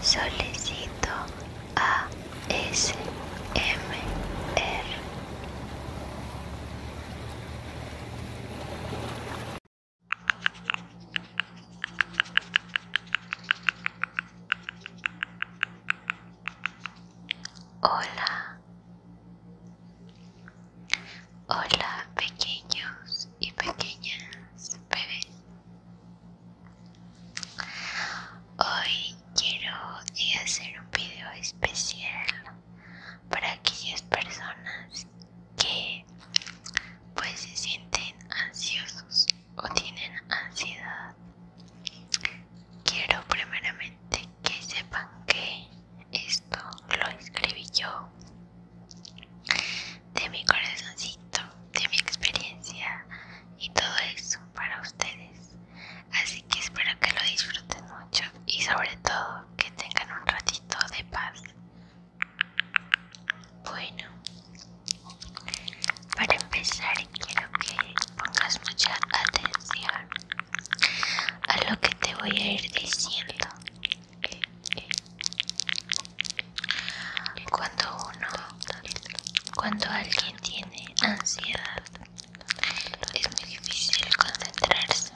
Solicito ASMR. Hola. Hola pequeños y pequeñas bebés. Hoy quiero hacer un video especial para aquellas personas que pues se sienten ansiosos o tienen ansiedad. Quiero primeramente que sepan que esto lo escribí yo de mi corazoncito, de mi experiencia y todo eso para ustedes. Así que espero que lo disfruten mucho y sobre todo que tengan un ratito de paz. Bueno, para empezar quiero que pongas mucha atención a lo que te voy a ir diciendo cuando uno, cuando alguien tiene ansiedad, es muy difícil concentrarse.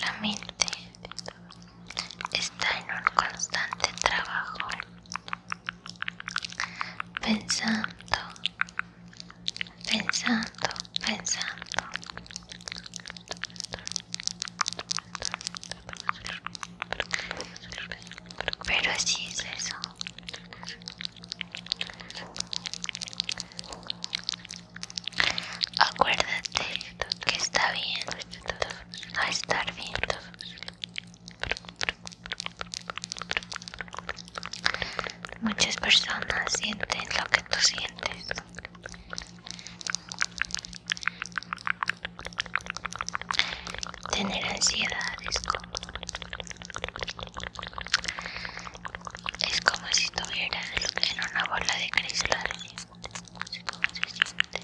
La mente está en un constante trabajo, pensando, pensando, pensando. Pero así es eso. Acuérdate que está bien a estar bien. Muchas personas sienten lo que tú sientes tener ansiedad es como es como si tuviera en una bola de cristal no sé cómo se siente,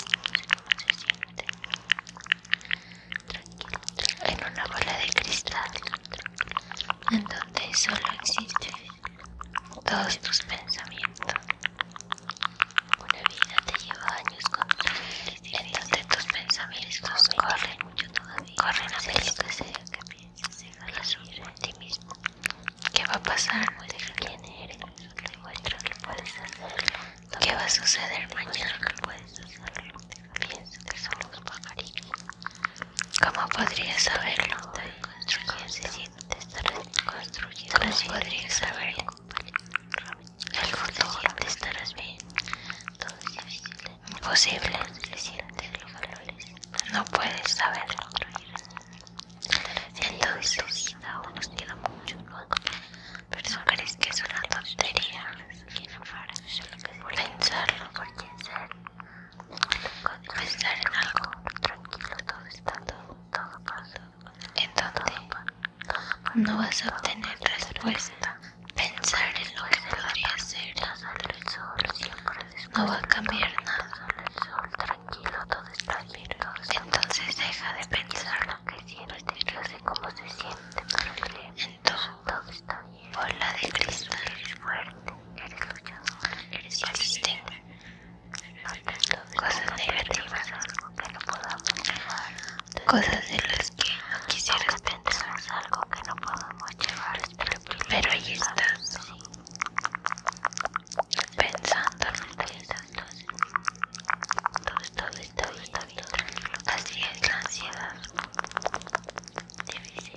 en una bola de cristal en donde solo existe todos tus pensamientos. Una vida te lleva años constantes y entonces tus pensamientos corren, mucho todavía, corren a ver lo que sea que pienses, la subir en ti mismo. ¿Qué va a pasar? quién eres, demuestra que puedes hacerlo. ¿Qué va a suceder mañana? que puedes hacerlo. Piensa que somos pajaritos. ¿Cómo podrías saberlo? Construyendo estar construido no podrías saberlo el futuro te estarás bien todo es imposible no puedes saberlo entonces aún nos queda mucho pero no crees que es una tontería pensarlo pensar en algo tranquilo, todo está todo, todo pasa. En tiempo. no vas a obtener respuesta. Pensar en lo que a hacer, No va a cambiar nada. sol Tranquilo, todo está bien. Entonces deja de pensar lo que sientes. Yo sé cómo se siente, entonces todo está bien. Bola de cristal. fuerte, eres luchador, eres existente cosas negativas, algo que no podamos llevar, cosas de las que no quisieras pensar, algo que no podamos llevar, pero ahí estás pensando, todo está bien, así es la ansiedad difícil.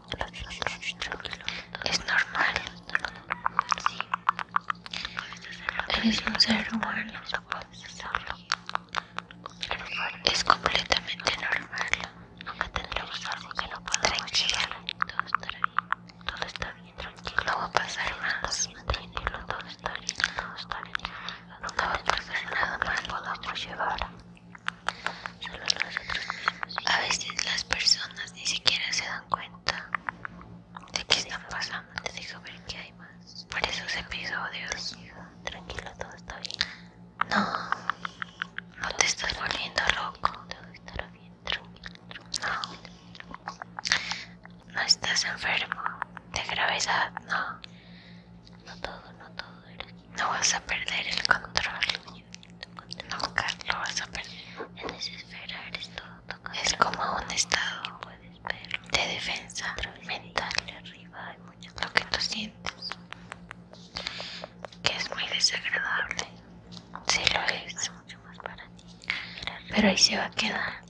Es normal. es normal un ser humano. Es completamente normal. Nunca tendremos algo que no pueda Tranquila. Todo estará bien. Todo está bien, tranquilo. No va a pasar más. Tranquilo, todo está lindo Todo está lindo Nunca va a pasar nada más. Podamos llevar. A veces las personas ni siquiera se dan cuenta de qué están pasando. Te dejo ver que hay más. Por esos episodios. Tranquilo, todo está bien. No, no te estás volviendo loco. Todo estará bien, tranquilo. No, no estás enfermo de gravedad, no. No todo, no todo. No vas a perder el control. Nunca lo vas a perder. En esa esfera eres todo. es como un estado de defensa mental. lo que tú sientes. Que es muy desagradable. Sí lo es. Pero ahí se va a quedar.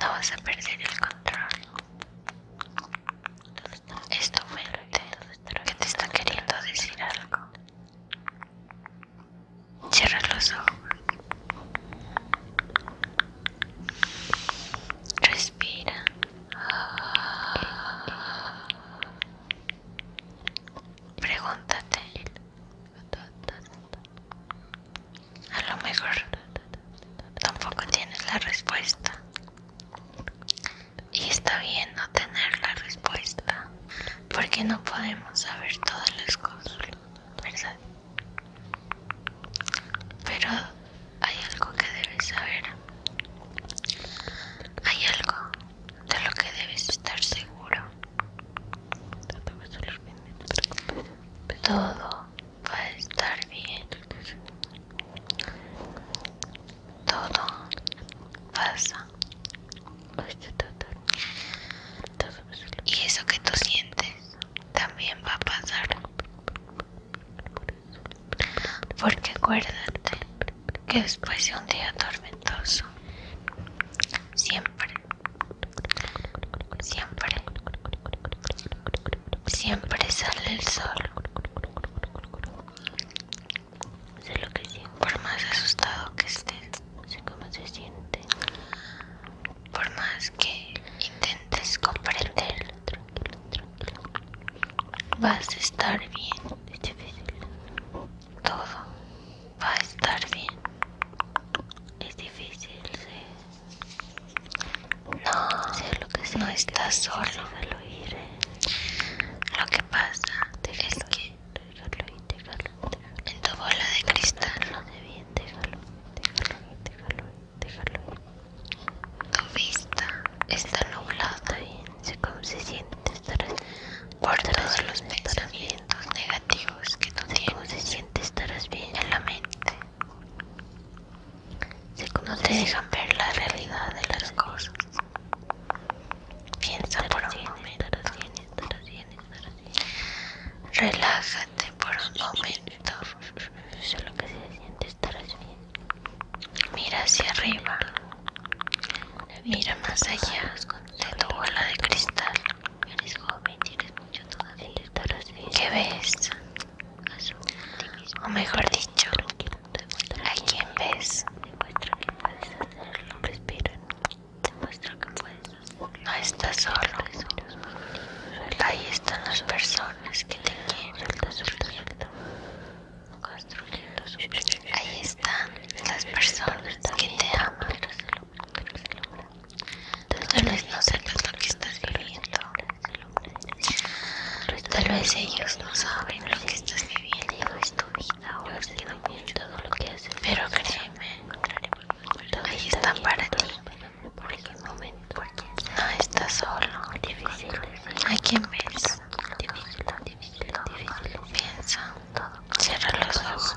No vas a perder el control. Esto tu mente que te está queriendo decir algo. Cierra los ojos. Respira. Pregúntate. A lo mejor tampoco tienes la respuesta. Y está bien no tener la respuesta, porque no podemos saber todas las cosas, ¿verdad? Pero hay algo que debes saber. Hay algo de lo que debes estar seguro. Todo va a estar bien. Todo pasa. Y eso que tú sientes también va a pasar. Porque acuérdate que después de un día tormentoso, siempre, siempre Siempre sale el sol. que Por más asustado que estés, sé cómo se siente. Por más que intentes comprenderlo, tranquilo, Vas a estar bien. Es difícil. Todo va a estar bien. Es difícil, no, no estás solo. ir. Eh. Lo que pasa es que déjalo en tu bola de cristal, no te vienes. déjalo, déjalo, déjalo, déjalo. Tu vista está nublada bien, sé cómo se siente estar por todos los pensamientos negativos que tú tienes. se siente estarás bien en la mente? Si no te dejan ver la realidad de las cosas. Piensa por un momento. Relájate por un momento. Solo que se siente estarás bien. Mira hacia arriba. Mira más allá de tu bola de cristal. Eres joven, tienes mucho todavía. ¿Qué ves? o mejor dicho, a quien ves. muestro que puedes hacerlo. Respira. Demuestra que puedes hacerlo. No estás solo. Ahí están las personas que te quieren. Construyendo su Ahí están las personas que te aman. Tal vez no sepas lo que estás viviendo. Tal vez ellos no saben lo que estás viviendo. Pero créeme, ahí están para ti. No ah, estás solo. Hay quien Piensa. Cierra los ojos.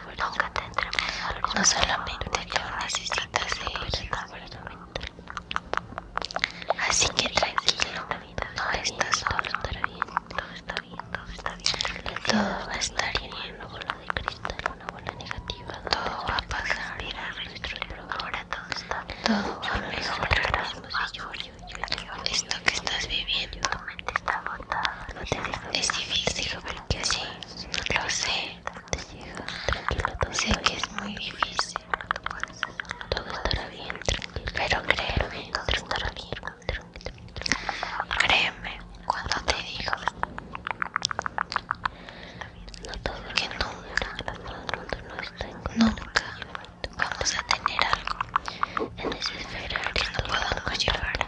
Nunca tendremos algo. No solamente yo necesitas de Así que tranquilo, no estás solo. Todo está bien, todo está bien. Todo va a estar bien. con bola de cristal, una buena negativa. Todo va a pasar. Ahora todo está bien. Todo va a mejorar. Esto que estás viviendo. Es difícil, pero que sí, lo sé te llega, tranquilo, todo Sé que es muy difícil, todo estará bien, tranquilo, pero créeme, todo estará bien, tranquilo. créeme cuando te digo no que nunca, nunca vamos a tener algo en esa esfera que no podamos llevar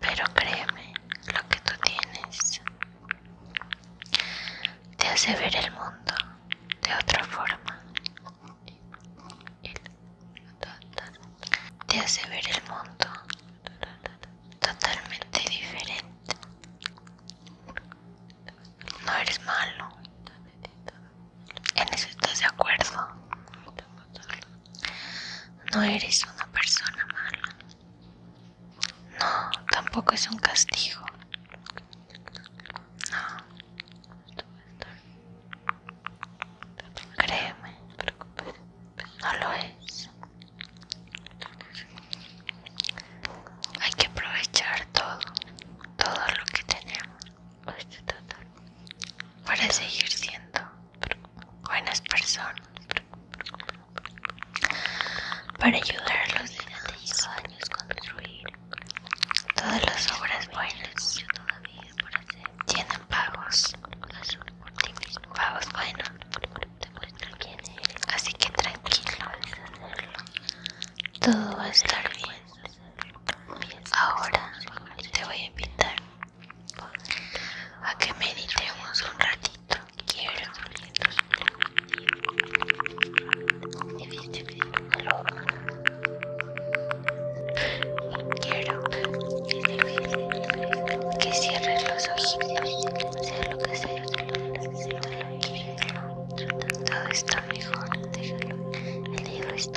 Pero créeme, lo que tú tienes te hace ver el mundo de otra forma. Te hace ver el mundo totalmente diferente. No eres malo. En eso estás de acuerdo. No eres una persona mala. No, tampoco es un castigo. No. Créeme, no lo es. Hay que aprovechar todo, todo lo que tenemos para seguir siendo buenas personas, para ayudar a los niños años construir todas las obras buenas tienen pagos, pagos buenos, así que tranquilo, todo va a estar bien. Ahora te voy a invitar a que meditemos un ratito. Quiero. que cierres los ojitos, sea lo que sea, todo está mejor, el libro está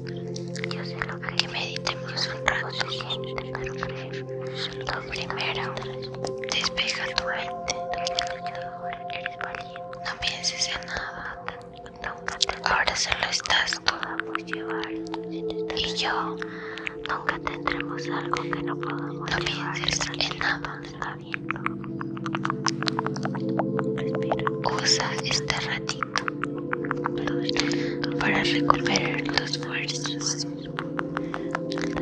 Yo sé lo que, meditemos un rato. Lo primero, despeja tu mente. No pienses en nada. Ahora solo estás tú. Y yo. Nunca tendremos algo que no podamos No pienses en nada. Usa este ratito para recuperar tus fuerzas,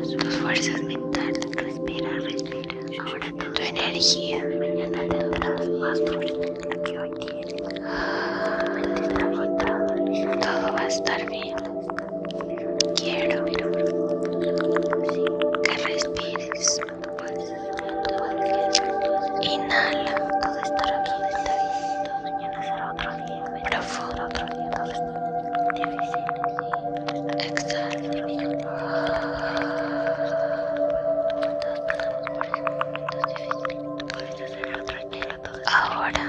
tus fuerzas mentales. Respira, respira. tu energía. Todo va a estar bien. Quiero que respires. Inhala. Todo Mañana será otro día. Exhala. Ahora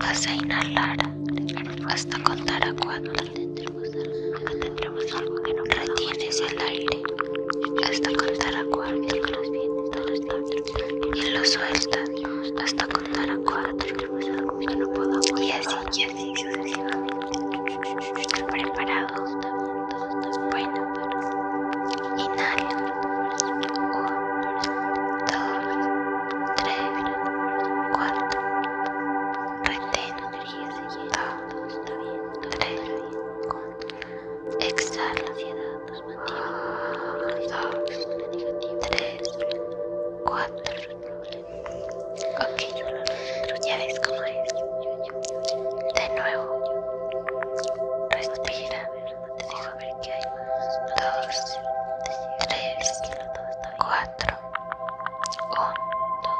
vas a inhalar hasta contar a cuatro que retienes el aire hasta contar a cuatro y lo sueltas hasta contar a cuatro y así y así sucesivamente preparados bueno inhala uno dos tres cuatro retén dos tres Exhala. Dos, tres, cuatro. Ok, ya ves cómo es. De nuevo. Respira. Dos, tres, cuatro. Uno. dos,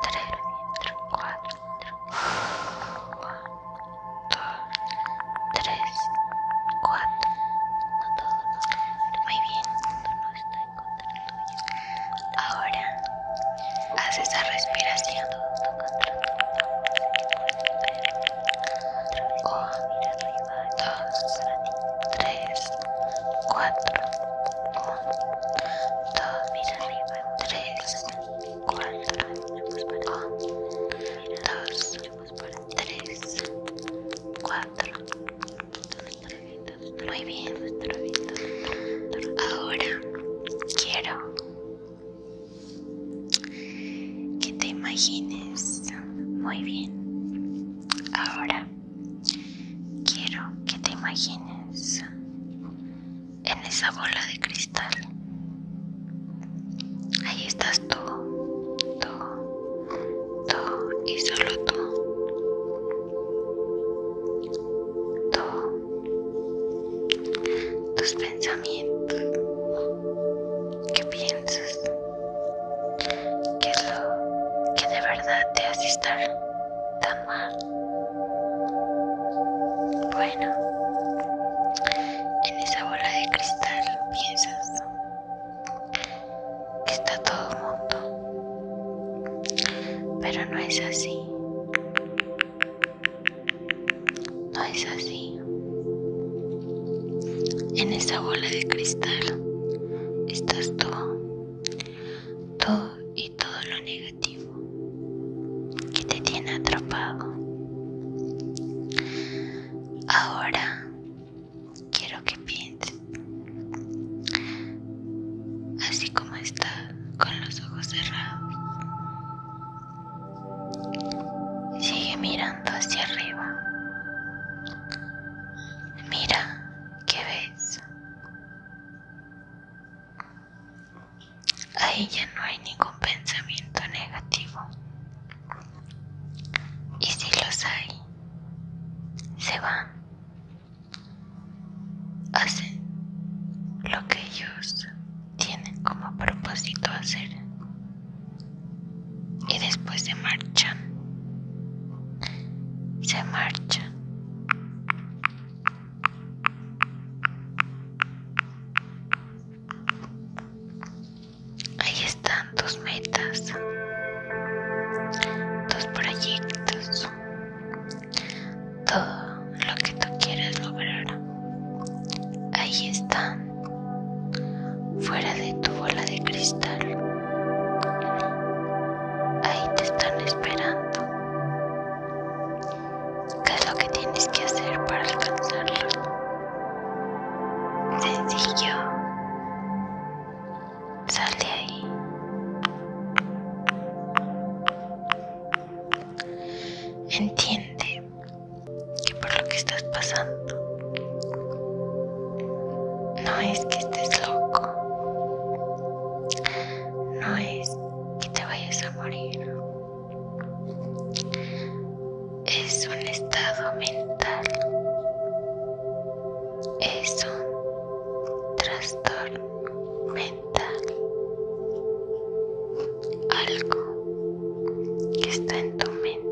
tres, cuatro. 1, 2, 3, 4, no todo muy bien, no está en Ahora, haz esa respiración. 1, 2, 3, 4, 1, 2, mira arriba tres, cuatro, dos, tres, cuatro. Muy bien. Ahora quiero que te imagines. Muy bien. Ahora quiero que te imagines en esa bola de cristal. Ahí estás tú, tú, tú y solo tú. Tú, tus pensamientos. ¿Qué piensas? ¿Qué es lo que de verdad te hace estar tan mal? Bueno, en esa bola de cristal piensas que está todo mundo, pero no es así. No es así. En esa bola de cristal estás tú, tú y todo lo negativo que te tiene atrapado. Ahora quiero que pienses, así como está, con los ojos cerrados. Sigue mirando hacia arriba. Mira, ¿qué ves? Ahí ya no hay ningún pensamiento negativo. Y si los hay, se van. Hacen lo que ellos tienen como propósito hacer. Y después se marchan. Se marchan Ahí están tus metas, tus proyectos, todo lo que tú quieras lograr. Ahí están, fuera de tu bola de cristal. Ahí te están esperando. ¿Qué es lo que tienes que hacer para alcanzarlos? Sencillo. Sal de ahí. Entiende que por lo que estás pasando no es que estés loco no es que te vayas a morir. Es un estado mental. Es un trastorno mental. Algo que está en tu mente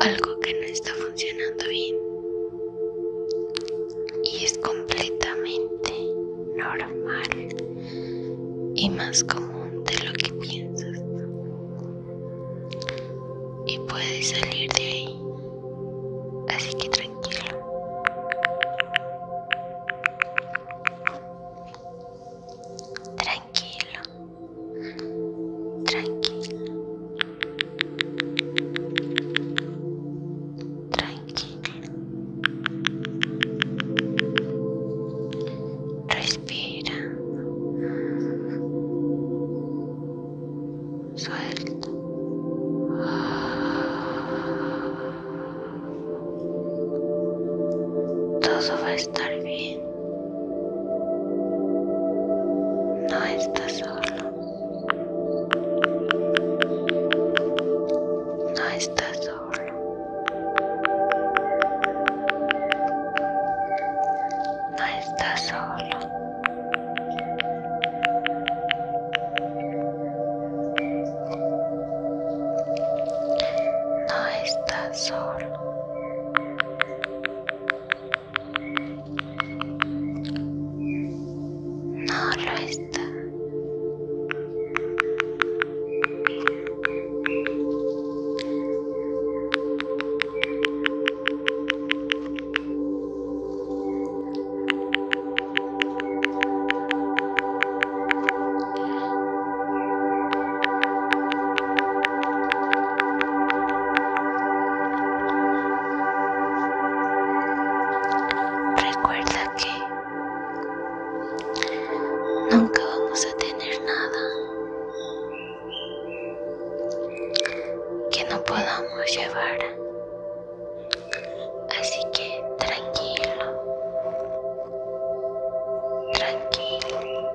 algo que no está funcionando bien. Y es completamente normal y más común de lo que piensas. Y puedes salir de ahí. Así que tranquilo. Tranquilo. Tranquilo. Tranquila. Respira. Suelta. Todo va a estar bien. No estás solo. No estás solo. No está solo. No estás solo. No lo está. Recuerda que nunca vamos a tener nada que no podamos llevar. Así que tranquilo, tranquilo.